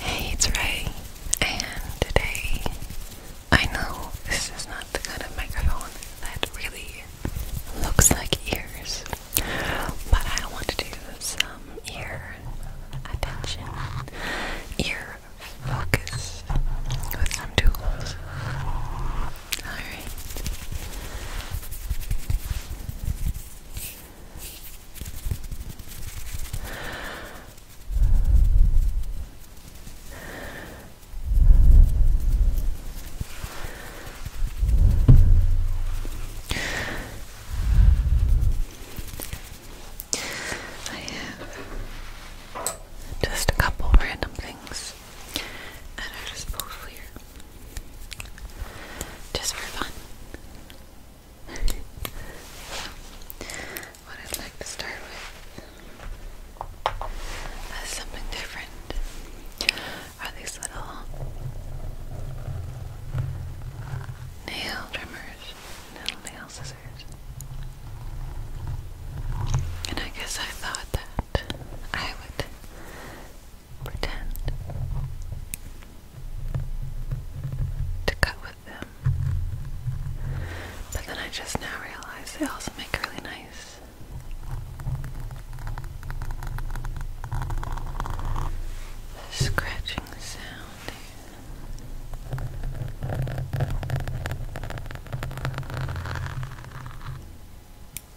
Hey, it's Ray, and today I know this is not the kind of microphone that really looks like ears, but I want to do some ear attention, ear focus with some tools. Alright. I have just a couple random things this at our disposal here. Just for fun. so, what I'd like to start with as something different are these little nail trimmers, little nail scissors. And I guess I thought that I would pretend to cut with them. But then I just now realize they also make really nice scratching sound.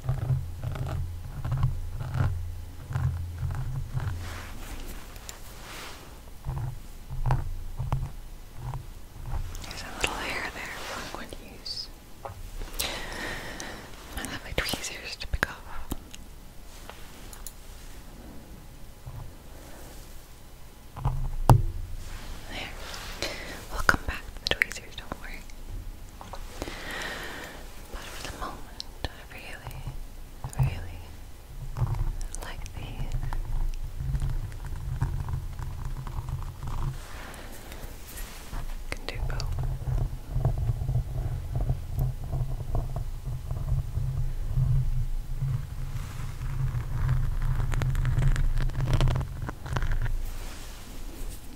There's a little hair there I'm going to use. I have my tweezers to pick off. There. We'll come back to the tweezers, don't worry. But for the moment, I really, really like these. Can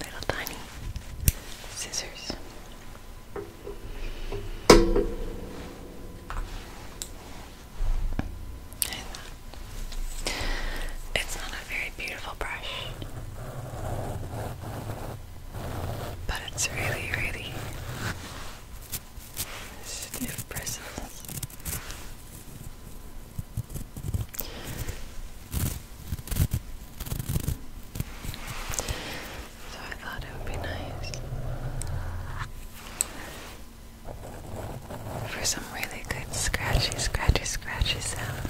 little tiny scissors. It's not a very beautiful brush, but it's really, really stiff bristles. So I thought it would be nice for some really good scratchy, scratchy, scratchy sound.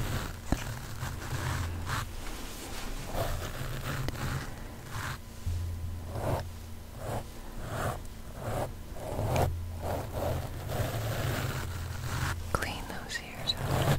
Clean those ears out. Good.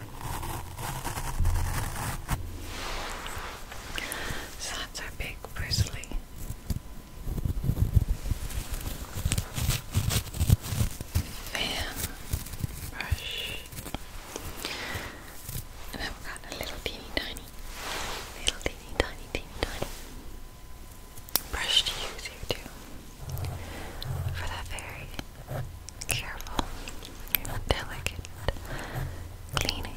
So that's our big parsley. Fan brush. And I've got a little teeny tiny, little teeny tiny, teeny tiny brush to use here too for that very careful, delicate cleaning.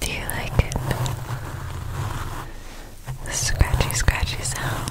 Do you like The scratchy, scratchy sounds.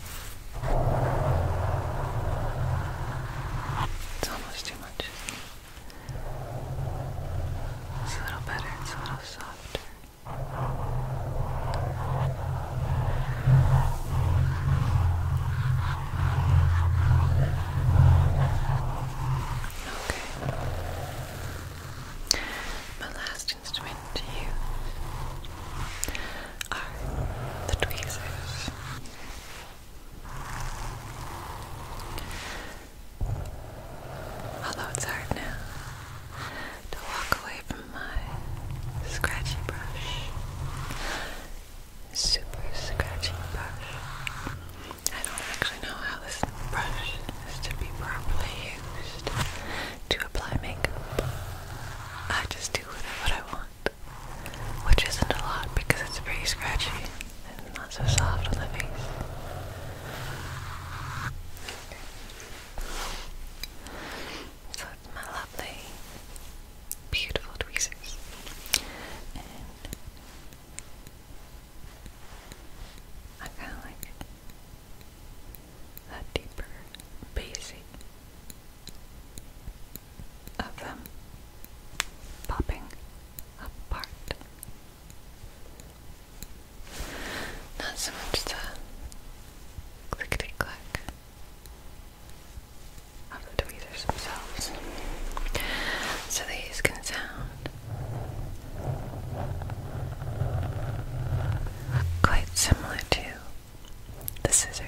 It's almost too much. It's a little better, it's a little softer. Okay. My last next instrument to use are the tweezers. Although it's hard now to walk away from my scratchy brush, super scratchy brush. I don't actually know how this brush is to be properly used to apply makeup. I just do with it what I want, which isn't a lot because it's pretty scratchy and not so soft on the face. So it's my lovely, beautiful tweezers. And I kind of like a deeper basic of them popping apart. Not so much the clickety click of the tweeters themselves. So these can sound quite similar too the scissors.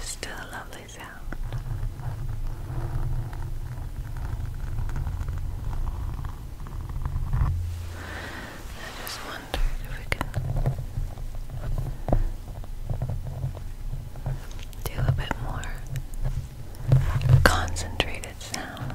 Still a lovely sound. I just wondered if we can do a bit more concentrated sound.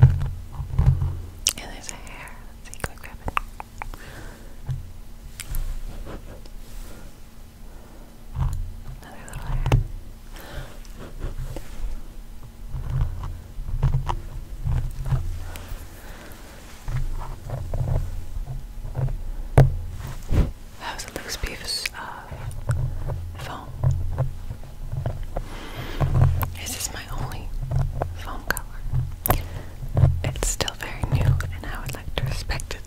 And there's a hair. see, go grab Another little hair. That was loose piece of foam. This is my only foam color. It's still very new, and I would like to respect it.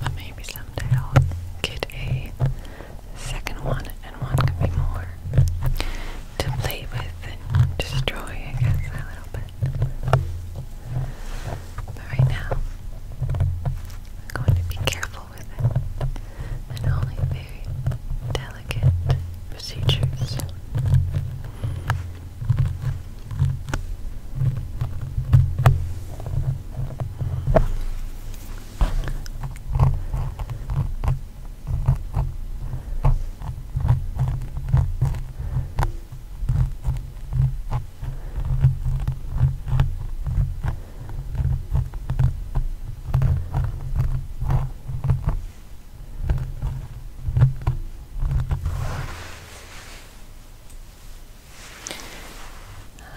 but maybe someday I'll get a second one, and one can be more to play with and destroy, I guess, a little bit. But right now, I'm going to be careful with it, and only very delicate procedures.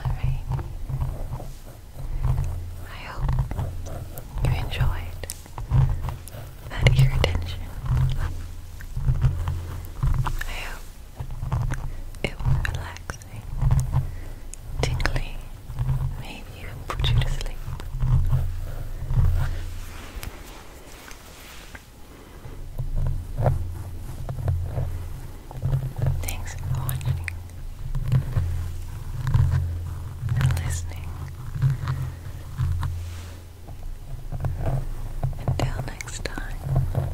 All right. I hope you enjoyed that ear attention. I hope it was relaxing, tingly, maybe even put you to sleep. Thanks for watching and listening. Until next time.